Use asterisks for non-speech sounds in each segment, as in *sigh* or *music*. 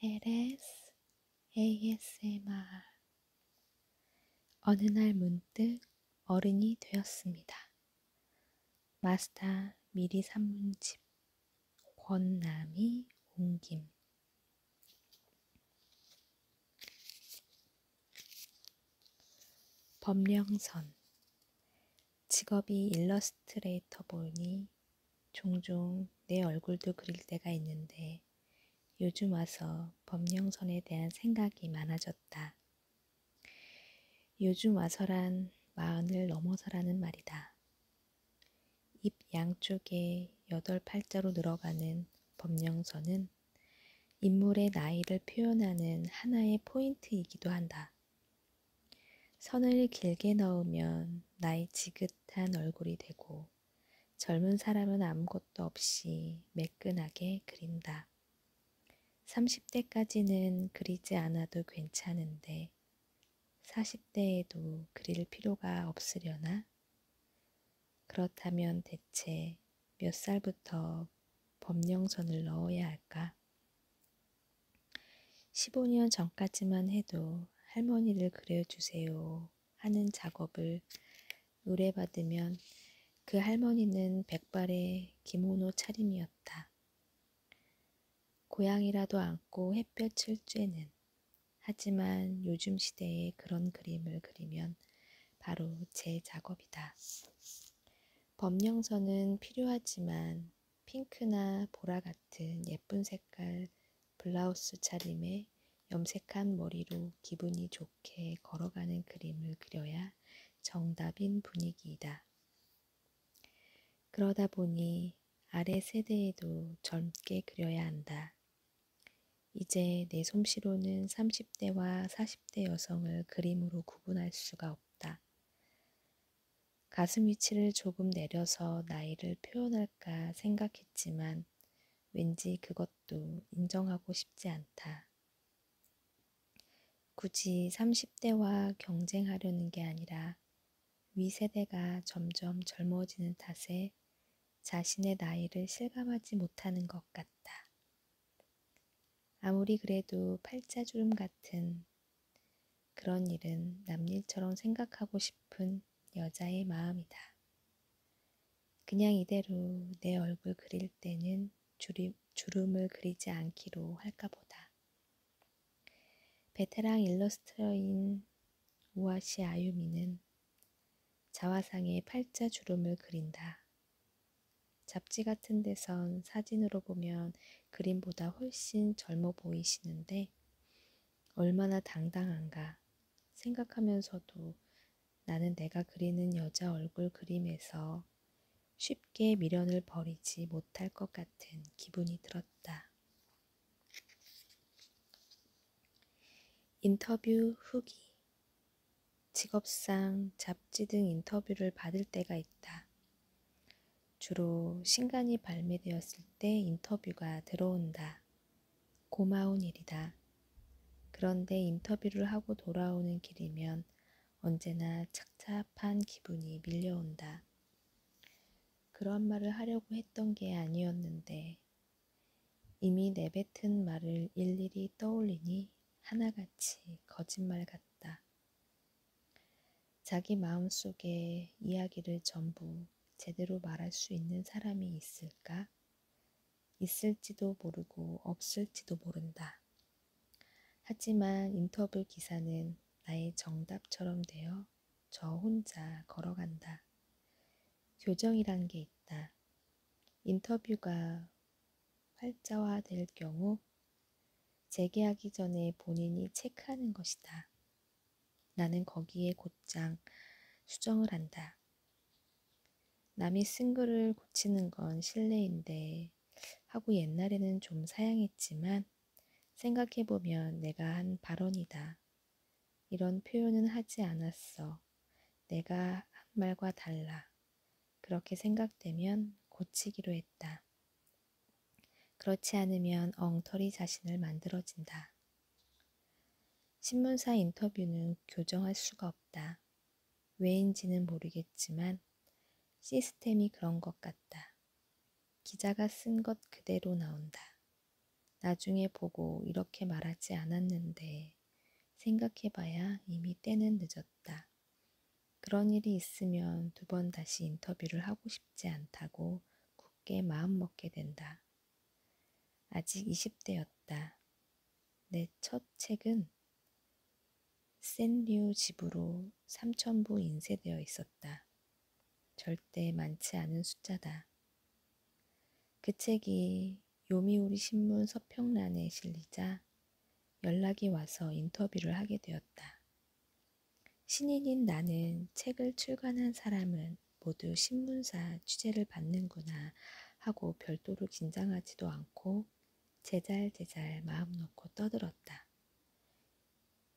LS ASMR 어느 날 문득 어른이 되었습니다. 마스터 미리 산문집 권남이 옹김 법령선 직업이 일러스트레이터 보니 종종 내 얼굴도 그릴 때가 있는데 요즘 와서 법령선에 대한 생각이 많아졌다. 요즘 와서란 마흔을 넘어서라는 말이다. 입 양쪽에 여덟 팔자로 늘어가는 법령선은 인물의 나이를 표현하는 하나의 포인트이기도 한다. 선을 길게 넣으면 나이 지긋한 얼굴이 되고 젊은 사람은 아무것도 없이 매끈하게 그린다. 30대까지는 그리지 않아도 괜찮은데 40대에도 그릴 필요가 없으려나? 그렇다면 대체 몇 살부터 법령선을 넣어야 할까? 15년 전까지만 해도 할머니를 그려주세요 하는 작업을 의뢰받으면 그 할머니는 백발의 기모노 차림이었다. 고양이라도 안고 햇볕을 쬐는 하지만 요즘 시대에 그런 그림을 그리면 바로 제 작업이다. 법령서는 필요하지만 핑크나 보라 같은 예쁜 색깔 블라우스 차림에 염색한 머리로 기분이 좋게 걸어가는 그림을 그려야 정답인 분위기이다. 그러다 보니 아래 세대에도 젊게 그려야 한다. 이제 내 솜씨로는 30대와 40대 여성을 그림으로 구분할 수가 없다. 가슴 위치를 조금 내려서 나이를 표현할까 생각했지만 왠지 그것도 인정하고 싶지 않다. 굳이 30대와 경쟁하려는 게 아니라 위세대가 점점 젊어지는 탓에 자신의 나이를 실감하지 못하는 것 같다. 아무리 그래도 팔자주름 같은 그런 일은 남일처럼 생각하고 싶은 여자의 마음이다. 그냥 이대로 내 얼굴 그릴 때는 주름, 주름을 그리지 않기로 할까 보다. 베테랑 일러스트러인 우아시 아유미는 자화상에 팔자 주름을 그린다. 잡지 같은 데선 사진으로 보면 그림보다 훨씬 젊어 보이시는데 얼마나 당당한가 생각하면서도 나는 내가 그리는 여자 얼굴 그림에서 쉽게 미련을 버리지 못할 것 같은 기분이 들었다. 인터뷰 후기 직업상 잡지 등 인터뷰를 받을 때가 있다. 주로 신간이 발매되었을 때 인터뷰가 들어온다. 고마운 일이다. 그런데 인터뷰를 하고 돌아오는 길이면 언제나 착잡한 기분이 밀려온다. 그런 말을 하려고 했던 게 아니었는데 이미 내뱉은 말을 일일이 떠올리니 하나같이 거짓말 같다. 자기 마음속에 이야기를 전부 제대로 말할 수 있는 사람이 있을까? 있을지도 모르고 없을지도 모른다. 하지만 인터뷰 기사는 나의 정답처럼 되어 저 혼자 걸어간다. 교정이란 게 있다. 인터뷰가 활자화될 경우 재계하기 전에 본인이 체크하는 것이다. 나는 거기에 곧장 수정을 한다. 남이 쓴 글을 고치는 건 실례인데 하고 옛날에는 좀 사양했지만 생각해보면 내가 한 발언이다. 이런 표현은 하지 않았어. 내가 한 말과 달라. 그렇게 생각되면 고치기로 했다. 그렇지 않으면 엉터리 자신을 만들어진다. 신문사 인터뷰는 교정할 수가 없다. 왜인지는 모르겠지만 시스템이 그런 것 같다. 기자가 쓴 것 그대로 나온다. 나중에 보고 이렇게 말하지 않았는데 생각해봐야 이미 때는 늦었다. 그런 일이 있으면 두 번 다시 인터뷰를 하고 싶지 않다고 부드럽게 마음먹게 된다. 아직 20대였다. 내 첫 책은 센류 집으로 삼천부 인쇄되어 있었다. 절대 많지 않은 숫자다. 그 책이 요미우리 신문 서평란에 실리자 연락이 와서 인터뷰를 하게 되었다. 신인인 나는 책을 출간한 사람은 모두 신문사 취재를 받는구나 하고 별도로 긴장하지도 않고 제잘제잘 마음 놓고 떠들었다.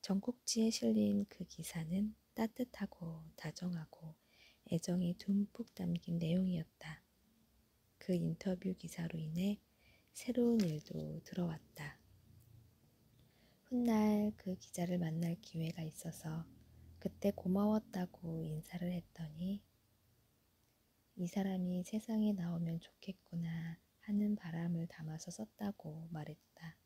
전국지에 실린 그 기사는 따뜻하고 다정하고 애정이 듬뿍 담긴 내용이었다. 그 인터뷰 기사로 인해 새로운 일도 들어왔다. 훗날 그 기자를 만날 기회가 있어서 그때 고마웠다고 인사를 했더니 이 사람이 세상에 나오면 좋겠구나 하는 바람을 담아서 썼다고 말했다.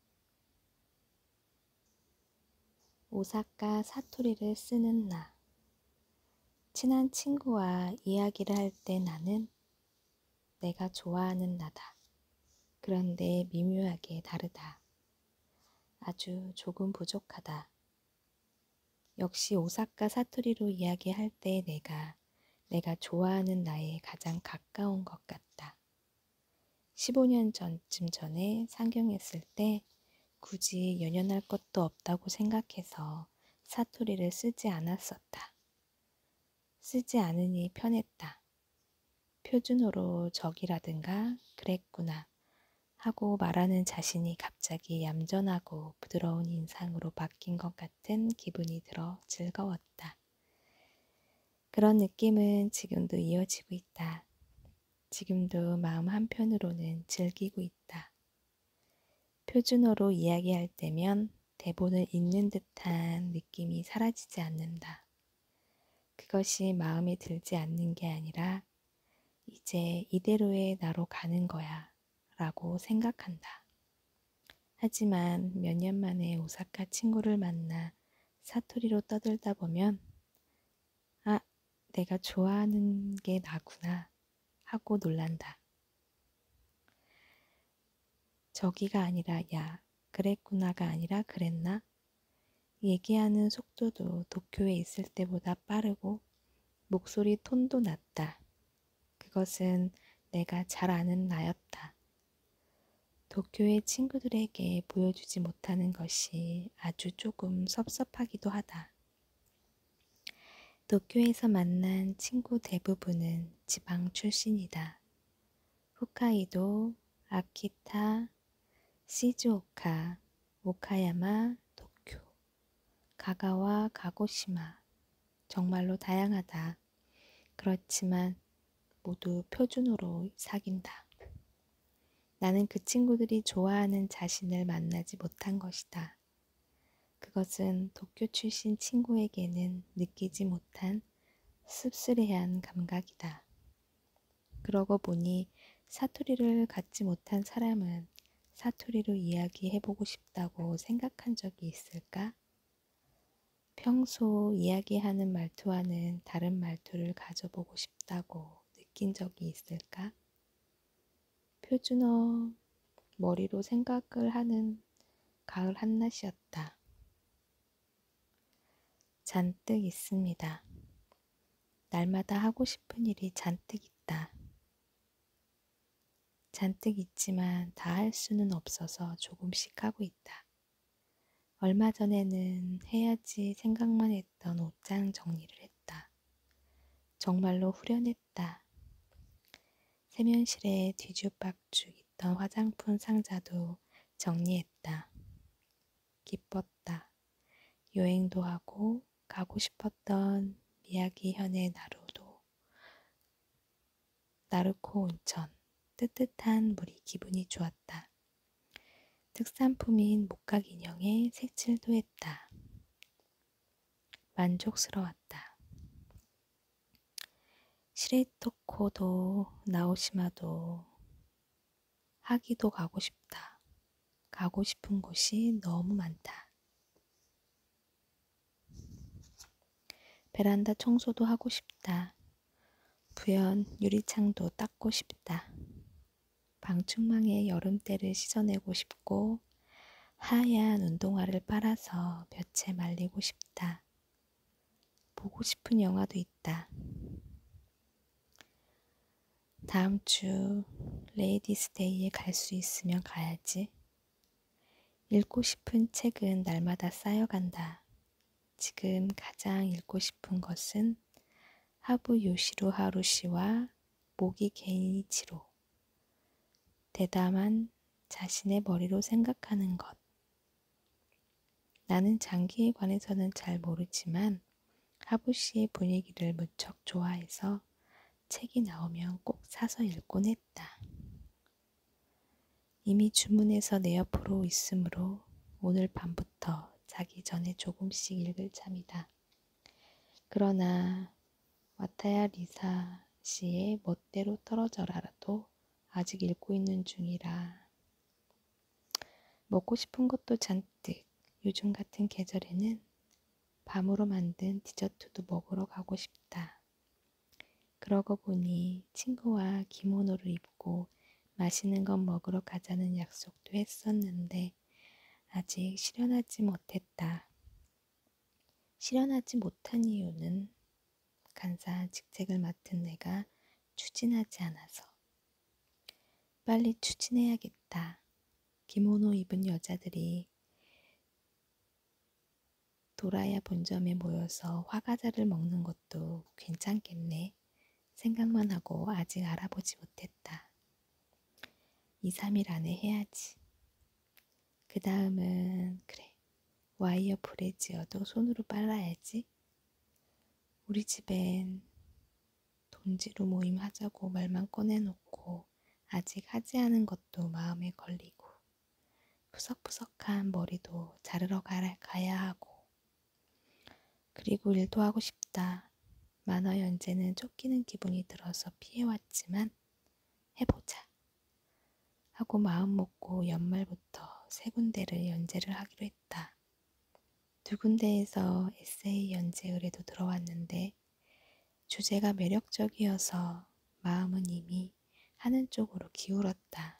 오사카 사투리를 쓰는 나. 친한 친구와 이야기를 할 때 나는 내가 좋아하는 나다. 그런데 미묘하게 다르다. 아주 조금 부족하다. 역시 오사카 사투리로 이야기할 때 내가 내가 좋아하는 나에 가장 가까운 것 같다. 15년 전쯤 전에 상경했을 때 굳이 연연할 것도 없다고 생각해서 사투리를 쓰지 않았었다. 쓰지 않으니 편했다. 표준어로 적이라든가 그랬구나 하고 말하는 자신이 갑자기 얌전하고 부드러운 인상으로 바뀐 것 같은 기분이 들어 즐거웠다. 그런 느낌은 지금도 이어지고 있다. 지금도 마음 한편으로는 즐기고 있다. 표준어로 이야기할 때면 대본을 읽는 듯한 느낌이 사라지지 않는다. 그것이 마음에 들지 않는 게 아니라 이제 이대로의 나로 가는 거야 라고 생각한다. 하지만 몇 년 만에 오사카 친구를 만나 사투리로 떠들다 보면 아, 내가 좋아하는 게 나구나 하고 놀란다. 저기가 아니라 야, 그랬구나가 아니라 그랬나? 얘기하는 속도도 도쿄에 있을 때보다 빠르고 목소리 톤도 낮다. 그것은 내가 잘 아는 나였다. 도쿄의 친구들에게 보여주지 못하는 것이 아주 조금 섭섭하기도 하다. 도쿄에서 만난 친구 대부분은 지방 출신이다. 홋카이도, 아키타, 시즈오카, 오카야마, 도쿄, 가가와 가고시마. 정말로 다양하다. 그렇지만 모두 표준으로 사귄다. 나는 그 친구들이 좋아하는 자신을 만나지 못한 것이다. 그것은 도쿄 출신 친구에게는 느끼지 못한 듯한 씁쓸해한 감각이다. 그러고 보니 사투리를 갖지 못한 사람은 사투리로 이야기해보고 싶다고 생각한 적이 있을까? 평소 이야기하는 말투와는 다른 말투를 가져보고 싶다고 느낀 적이 있을까? 표준어 머리로 생각을 하는 가을 한낮이었다. 잔뜩 있습니다. 날마다 하고 싶은 일이 잔뜩 있다. 잔뜩 있지만 다 할 수는 없어서 조금씩 하고 있다. 얼마 전에는 해야지 생각만 했던 옷장 정리를 했다. 정말로 후련했다. 세면실에 뒤죽박죽 있던 화장품 상자도 정리했다. 기뻤다. 여행도 하고 가고 싶었던 미야기현의 나루도 나루코 온천 뜨뜻한 물이 기분이 좋았다. 특산품인 목각 인형에 색칠도 했다. 만족스러웠다. 시레토코도 나오시마도 하기도 가고 싶다. 가고 싶은 곳이 너무 많다. 베란다 청소도 하고 싶다. 부연 유리창도 닦고 싶다. 방충망에 여름때를 씻어내고 싶고 하얀 운동화를 빨아서 볕에 말리고 싶다. 보고 싶은 영화도 있다. 다음 주 레이디스데이에 갈 수 있으면 가야지. 읽고 싶은 책은 날마다 쌓여간다. 지금 가장 읽고 싶은 것은 하부 요시로 하루시와 모기 개인이치로 대담한 자신의 머리로 생각하는 것 나는 장기에 관해서는 잘 모르지만 하부 씨의 분위기를 무척 좋아해서 책이 나오면 꼭 사서 읽곤 했다. 이미 주문해서 내 옆으로 있으므로 오늘 밤부터 자기 전에 조금씩 읽을 참이다. 그러나 와타야 리사 씨의 멋대로 떨어져라라도 아직 읽고 있는 중이라 먹고 싶은 것도 잔뜩 요즘 같은 계절에는 밤으로 만든 디저트도 먹으러 가고 싶다. 그러고 보니 친구와 기모노를 입고 맛있는 건 먹으러 가자는 약속도 했었는데 아직 실현하지 못했다. 실현하지 못한 이유는 간사 직책을 맡은 내가 추진하지 않아서 빨리 추진해야겠다. 기모노 입은 여자들이 도라야 본점에 모여서 화과자를 먹는 것도 괜찮겠네. 생각만 하고 아직 알아보지 못했다. 2, 3일 안에 해야지. 그 다음은, 그래, 와이어 브레지어도 손으로 빨아야지. 우리 집엔 돈지로 모임 하자고 말만 꺼내놓고 아직 하지 않은 것도 마음에 걸리고 푸석푸석한 머리도 자르러 가야 하고 그리고 일도 하고 싶다. 만화 연재는 쫓기는 기분이 들어서 피해왔지만 해보자. 하고 마음먹고 연말부터 세 군데를 연재를 하기로 했다. 두 군데에서 에세이 연재 의뢰도 들어왔는데 주제가 매력적이어서 마음은 이미 하는 쪽으로 기울었다.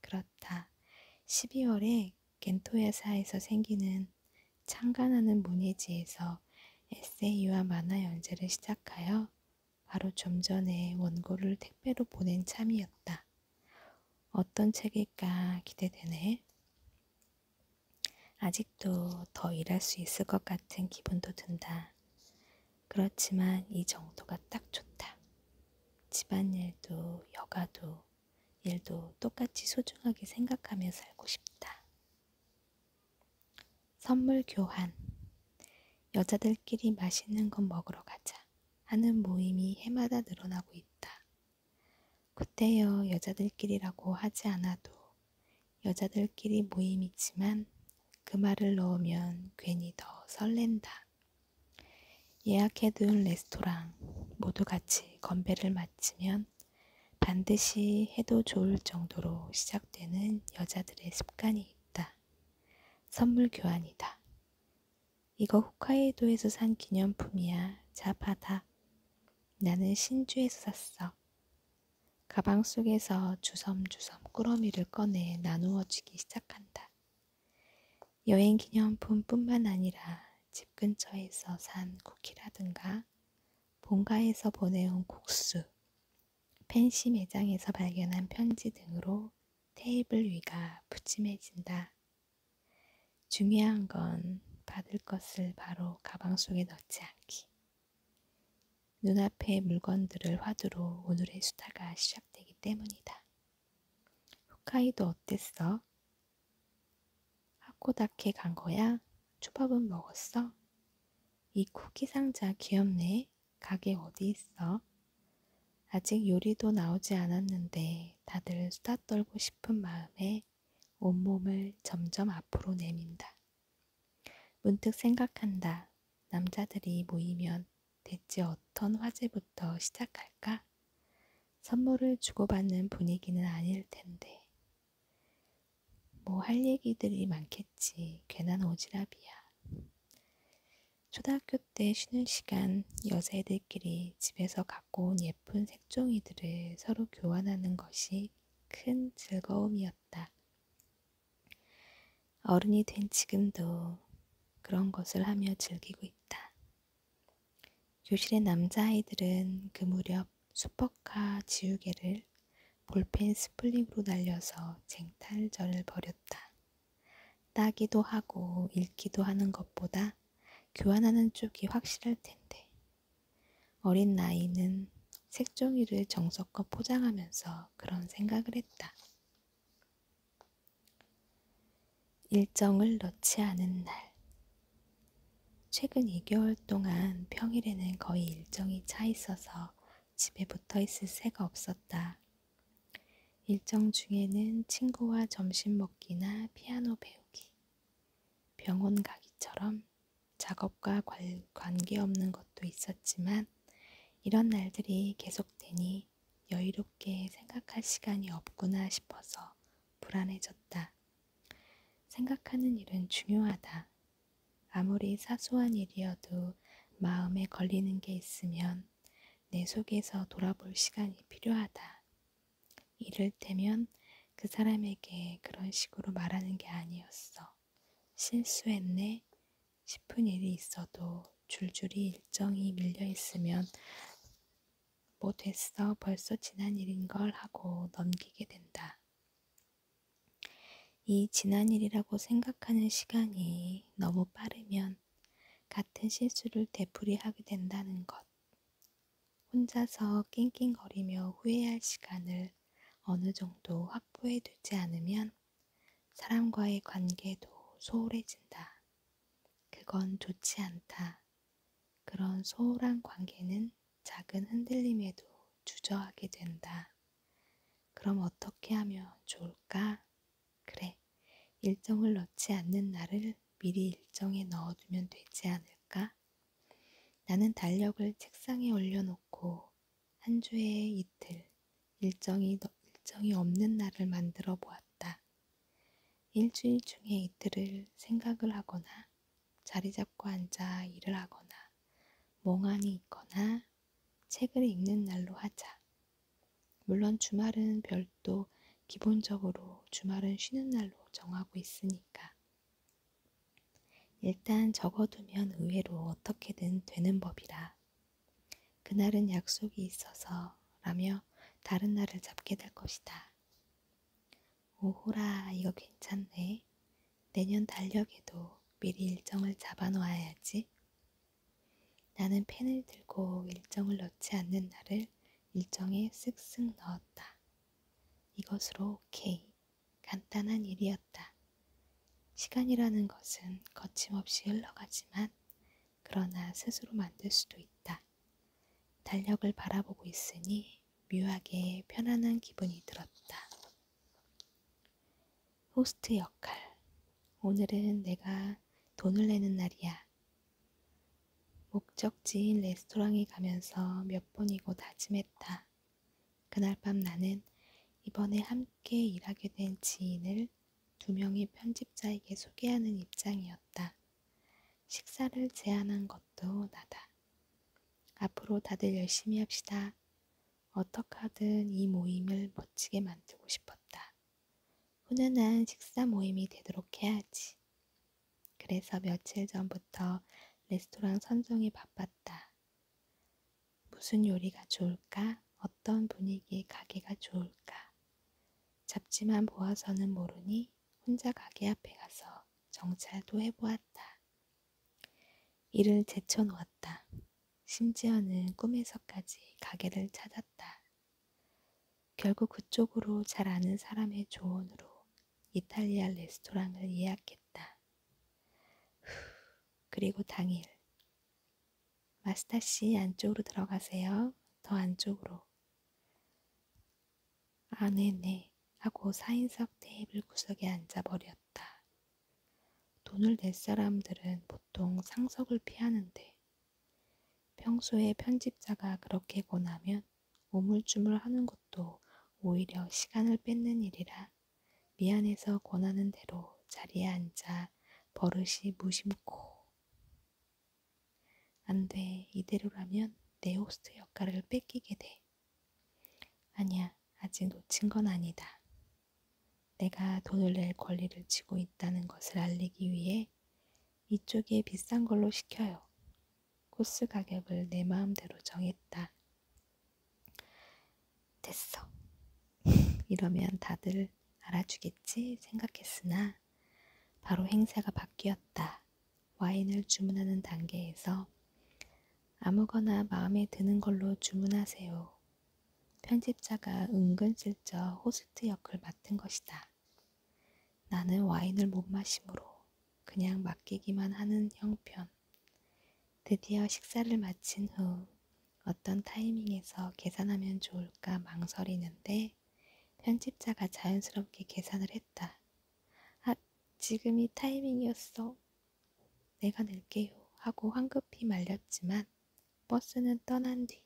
그렇다. 12월에 겐토 회사에서 생기는 창간하는 문예지에서 에세이와 만화 연재를 시작하여 바로 좀 전에 원고를 택배로 보낸 참이었다. 어떤 책일까 기대되네. 아직도 더 일할 수 있을 것 같은 기분도 든다. 그렇지만 이 정도가 딱 좋다. 집안일도 여가도 일도 똑같이 소중하게 생각하며 살고 싶다. 선물 교환. 여자들끼리 맛있는 건 먹으러 가자. 하는 모임이 해마다 늘어나고 있다. 그때여 여자들끼리라고 하지 않아도 여자들끼리 모임이지만 그 말을 넣으면 괜히 더 설렌다. 예약해둔 레스토랑 모두 같이 건배를 마치면 반드시 해도 좋을 정도로 시작되는 여자들의 습관이 있다. 선물 교환이다. 이거 홋카이도에서 산 기념품이야. 자, 받아. 나는 신주에서 샀어. 가방 속에서 주섬주섬 꾸러미를 꺼내 나누어주기 시작한다. 여행 기념품뿐만 아니라 집 근처에서 산 쿠키라든가 본가에서 보내온 국수, 펜시 매장에서 발견한 편지 등으로 테이블 위가 푸짐해진다. 중요한 건 받을 것을 바로 가방 속에 넣지 않기. 눈앞의 물건들을 화두로 오늘의 수다가 시작되기 때문이다. 홋카이도 어땠어? 하코다케 간 거야? 초밥은 먹었어? 이 쿠키 상자 귀엽네. 가게 어디 있어? 아직 요리도 나오지 않았는데 다들 수다 떨고 싶은 마음에 온몸을 점점 앞으로 내민다. 문득 생각한다. 남자들이 모이면 대체 어떤 화제부터 시작할까? 선물을 주고받는 분위기는 아닐 텐데. 뭐 할 얘기들이 많겠지. 괜한 오지랖이야. 초등학교 때 쉬는 시간 여자애들끼리 집에서 갖고 온 예쁜 색종이들을 서로 교환하는 것이 큰 즐거움이었다. 어른이 된 지금도 그런 것을 하며 즐기고 있다. 교실의 남자아이들은 그 무렵 슈퍼카 지우개를 볼펜 스플링으로 날려서 쟁탈전을 벌였다. 따기도 하고 읽기도 하는 것보다 교환하는 쪽이 확실할 텐데. 어린 나이는 색종이를 정석껏 포장하면서 그런 생각을 했다. 일정을 넣지 않은 날. 최근 2개월 동안 평일에는 거의 일정이 차 있어서 집에 붙어 있을 새가 없었다. 일정 중에는 친구와 점심 먹기나 피아노 배우기, 병원 가기처럼 작업과 관, 관계없는 것도 있었지만 이런 날들이 계속되니 여유롭게 생각할 시간이 없구나 싶어서 불안해졌다. 생각하는 일은 중요하다. 아무리 사소한 일이어도 마음에 걸리는 게 있으면 내 속에서 돌아볼 시간이 필요하다. 이를테면 그 사람에게 그런 식으로 말하는 게 아니었어. 실수했네 싶은 일이 있어도 줄줄이 일정이 밀려있으면 뭐 됐어 벌써 지난 일인 걸 하고 넘기게 된다. 이 지난 일이라고 생각하는 시간이 너무 빠르면 같은 실수를 되풀이하게 된다는 것. 혼자서 낑낑거리며 후회할 시간을 어느 정도 확보해 두지 않으면 사람과의 관계도 소홀해진다. 그건 좋지 않다. 그런 소홀한 관계는 작은 흔들림에도 주저하게 된다. 그럼 어떻게 하면 좋을까? 그래, 일정을 넣지 않는 날을 미리 일정에 넣어두면 되지 않을까? 나는 달력을 책상에 올려놓고 한 주에 이틀, 일정이, 일정이 없는 날을 만들어 보았다. 일주일 중에 이틀을 생각을 하거나 자리 잡고 앉아 일을 하거나 멍하니 있거나 책을 읽는 날로 하자. 물론 주말은 별도 기본적으로 주말은 쉬는 날로 정하고 있으니까. 일단 적어두면 의외로 어떻게든 되는 법이라. 그날은 약속이 있어서 라며 다른 날을 잡게 될 것이다. 오호라, 이거 괜찮네. 내년 달력에도 미리 일정을 잡아놓아야지. 나는 펜을 들고 일정을 넣지 않는 나를 일정에 쓱쓱 넣었다. 이것으로 오케이. 간단한 일이었다. 시간이라는 것은 거침없이 흘러가지만 그러나 스스로 만들 수도 있다. 달력을 바라보고 있으니 묘하게 편안한 기분이 들었다. 호스트 역할. 오늘은 내가 돈을 내는 날이야. 목적지인 레스토랑에 가면서 몇 번이고 다짐했다. 그날 밤 나는 이번에 함께 일하게 된 지인을 두 명의 편집자에게 소개하는 입장이었다. 식사를 제안한 것도 나다. 앞으로 다들 열심히 합시다. 어떡하든 이 모임을 멋지게 만들고 싶었다. 훈훈한 식사 모임이 되도록 해야지. 그래서 며칠 전부터 레스토랑 선정이 바빴다. 무슨 요리가 좋을까? 어떤 분위기의 가게가 좋을까? 잡지만 보아서는 모르니 혼자 가게 앞에 가서 정찰도 해보았다. 이를 제쳐놓았다. 심지어는 꿈에서까지 가게를 찾았다. 결국 그쪽으로 잘 아는 사람의 조언으로 이탈리아 레스토랑을 예약했다. 후, 그리고 당일. 마스타 씨 안쪽으로 들어가세요. 더 안쪽으로. 아, 네네. 하고 4인석 테이블 구석에 앉아버렸다. 돈을 낼 사람들은 보통 상석을 피하는데 평소에 편집자가 그렇게 권하면 오물쭈물 하는 것도 오히려 시간을 뺏는 일이라 미안해서 권하는 대로 자리에 앉아 버릇이 무심코 안 돼 이대로라면 내 호스트 역할을 뺏기게 돼 아니야 아직 놓친 건 아니다 내가 돈을 낼 권리를 쥐고 있다는 것을 알리기 위해 이쪽이 비싼 걸로 시켜요. 코스 가격을 내 마음대로 정했다. 됐어. *laughs* 이러면 다들 알아주겠지 생각했으나 바로 행세가 바뀌었다. 와인을 주문하는 단계에서 아무거나 마음에 드는 걸로 주문하세요. 편집자가 은근슬쩍 호스트 역을 맡은 것이다. 나는 와인을 못 마시므로 그냥 맡기기만 하는 형편. 드디어 식사를 마친 후 어떤 타이밍에서 계산하면 좋을까 망설이는데 편집자가 자연스럽게 계산을 했다. 아, 지금이 타이밍이었어. 내가 낼게요. 하고 황급히 말렸지만 버스는 떠난 뒤.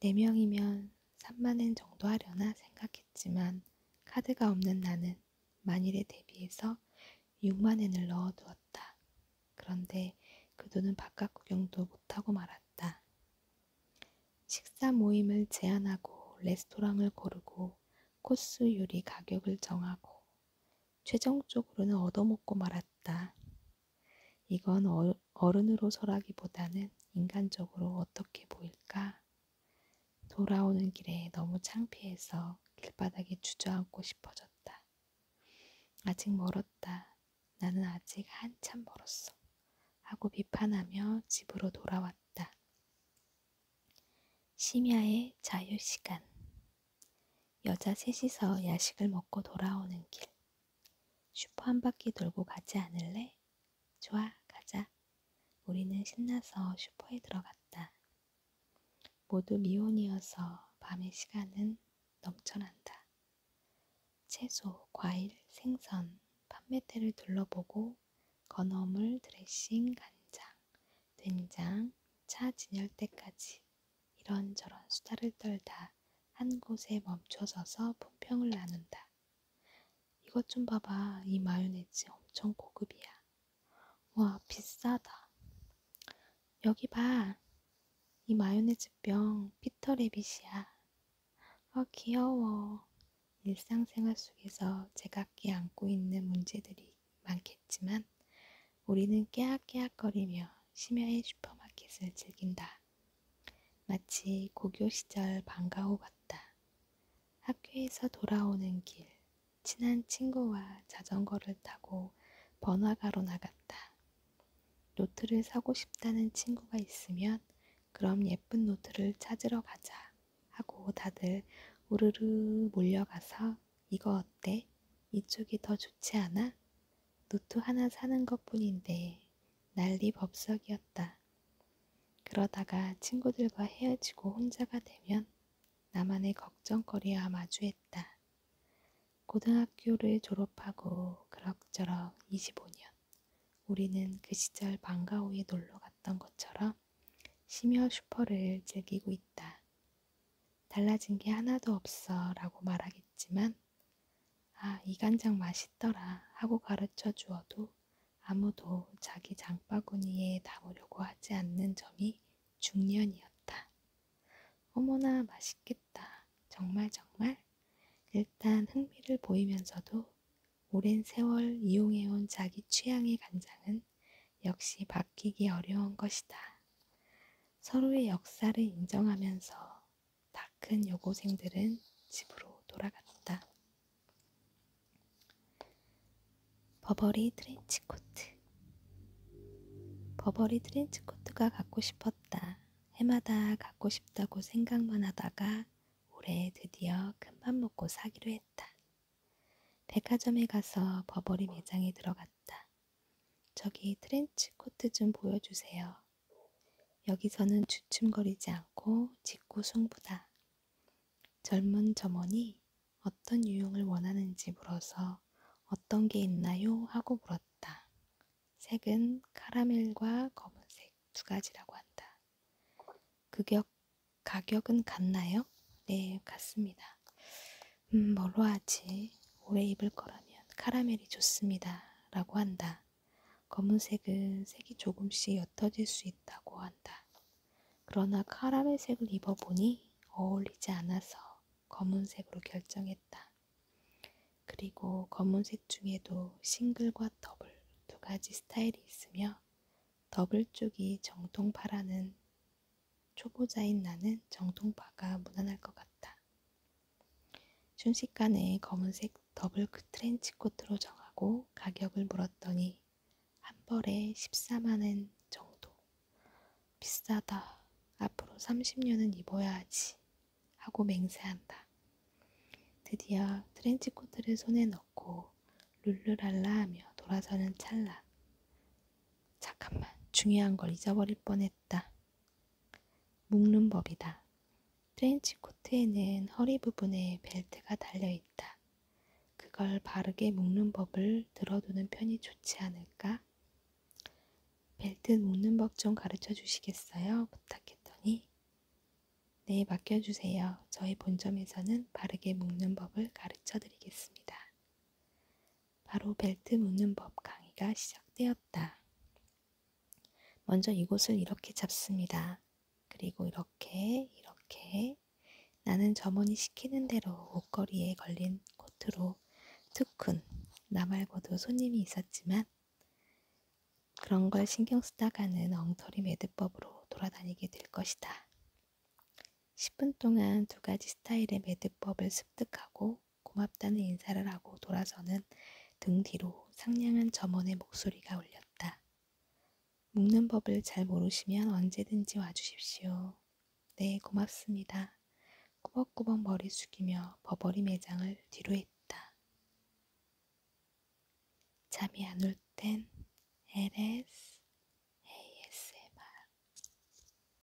네 명이면 3만엔 정도 하려나 생각했지만 카드가 없는 나는 만일에 대비해서 6만엔을 넣어 두었다. 그런데 그 돈은 바깥 구경도 못하고 말았다. 식사 모임을 제안하고 레스토랑을 고르고 코스 요리 가격을 정하고 최종적으로는 얻어먹고 말았다. 이건 어, 어른으로서라기보다는 인간적으로 어떻게 보일까? 돌아오는 길에 너무 창피해서 길바닥에 주저앉고 싶어졌다. 아직 멀었다. 나는 아직 한참 멀었어. 하고 비판하며 집으로 돌아왔다. 심야의 자유시간 여자 셋이서 야식을 먹고 돌아오는 길. 슈퍼 한 바퀴 돌고 가지 않을래? 좋아, 가자. 우리는 신나서 슈퍼에 들어갔다. 모두 미혼이어서 밤의 시간은 넘쳐난다. 채소, 과일, 생선, 판매대를 둘러보고 건어물, 드레싱, 간장, 된장, 차 진열 때까지 이런저런 수다를 떨다 한 곳에 멈춰서서 품평을 나눈다. 이것 좀 봐봐. 이 마요네즈 엄청 고급이야. 와, 비싸다. 여기 봐. 이 마요네즈 병 피터 레빗이야. 아, 귀여워. 일상생활 속에서 제각기 안고 있는 문제들이 많겠지만 우리는 깨악깨악거리며 심야의 슈퍼마켓을 즐긴다. 마치 고교 시절 방과후 같다. 학교에서 돌아오는 길, 친한 친구와 자전거를 타고 번화가로 나갔다. 노트를 사고 싶다는 친구가 있으면 그럼 예쁜 노트를 찾으러 가자 하고 다들 우르르 몰려가서 이거 어때? 이쪽이 더 좋지 않아? 노트 하나 사는 것 뿐인데 난리 법석이었다. 그러다가 친구들과 헤어지고 혼자가 되면 나만의 걱정거리와 마주했다. 고등학교를 졸업하고 그럭저럭 25년 우리는 그 시절 방과후에 놀러 갔던 것처럼 심야 슈퍼를 즐기고 있다. 달라진 게 하나도 없어 라고 말하겠지만, 아, 이 간장 맛있더라 하고 가르쳐 주어도 아무도 자기 장바구니에 담으려고 하지 않는 점이 중년이었다. 어머나 맛있겠다. 정말 정말. 일단 흥미를 보이면서도 오랜 세월 이용해온 자기 취향의 간장은 역시 바뀌기 어려운 것이다. 서로의 역사를 인정하면서 다큰 여고생들은 집으로 돌아갔다. 버버리 트렌치코트 버버리 트렌치코트가 갖고 싶었다. 해마다 갖고 싶다고 생각만 하다가 올해 드디어 큰맘 먹고 사기로 했다. 백화점에 가서 버버리 매장에 들어갔다. 저기 트렌치 코트 좀 보여주세요. 여기서는 주춤거리지 않고 짚고 승부다. 젊은 점원이 어떤 유형을 원하는지 물어서 어떤 게 있나요? 하고 물었다. 색은 카라멜과 검은색 두 가지라고 한다. 그 격, 가격은 같나요? 네, 같습니다. 음, 뭘로 하지? 오래 입을 거라면 카라멜이 좋습니다. 라고 한다. 검은색은 색이 조금씩 옅어질 수 있다고 한다. 그러나 카라멜색을 입어보니 어울리지 않아서 검은색으로 결정했다. 그리고 검은색 중에도 싱글과 더블 두 가지 스타일이 있으며 더블 쪽이 정통 파라는 초보자인 나는 정통파가 무난할 것 같다. 순식간에 검은색 더블 트렌치 코트로 정하고 가격을 물었더니 한 벌에 14만엔 정도. 비싸다. 앞으로 30년은 입어야 하지. 하고 맹세한다. 드디어 트렌치 코트를 손에 넣고 룰루랄라 하며 돌아서는 찰나. 잠깐만, 중요한 걸 잊어버릴 뻔했네. 뻔했다. 묶는 법이다. 트렌치 코트에는 허리 부분에 벨트가 달려있다. 그걸 바르게 묶는 법을 들어두는 편이 좋지 않을까? 벨트 묶는 법 좀 가르쳐 주시겠어요? 부탁했더니 네, 맡겨주세요. 저희 본점에서는 바르게 묶는 법을 가르쳐 드리겠습니다. 바로 벨트 묶는 법 강의가 시작되었다. 먼저 이곳을 이렇게 잡습니다. 그리고 이렇게, 이렇게 나는 점원이 시키는 대로 옷걸이에 걸린 코트로 투쿤, 나 말고도 손님이 있었지만 그런 걸 신경 쓰다가는 엉터리 매듭법으로 돌아다니게 될 것이다. 10분 동안 두 가지 스타일의 매듭법을 습득하고 고맙다는 인사를 하고 돌아서는 등 뒤로 상냥한 점원의 목소리가 울렸다. 묶는 법을 잘 모르시면 언제든지 와주십시오. 네, 고맙습니다. 꾸벅꾸벅 머리 숙이며 버버리 매장을 뒤로 했다. 잠이 안 올 땐 LS ASMR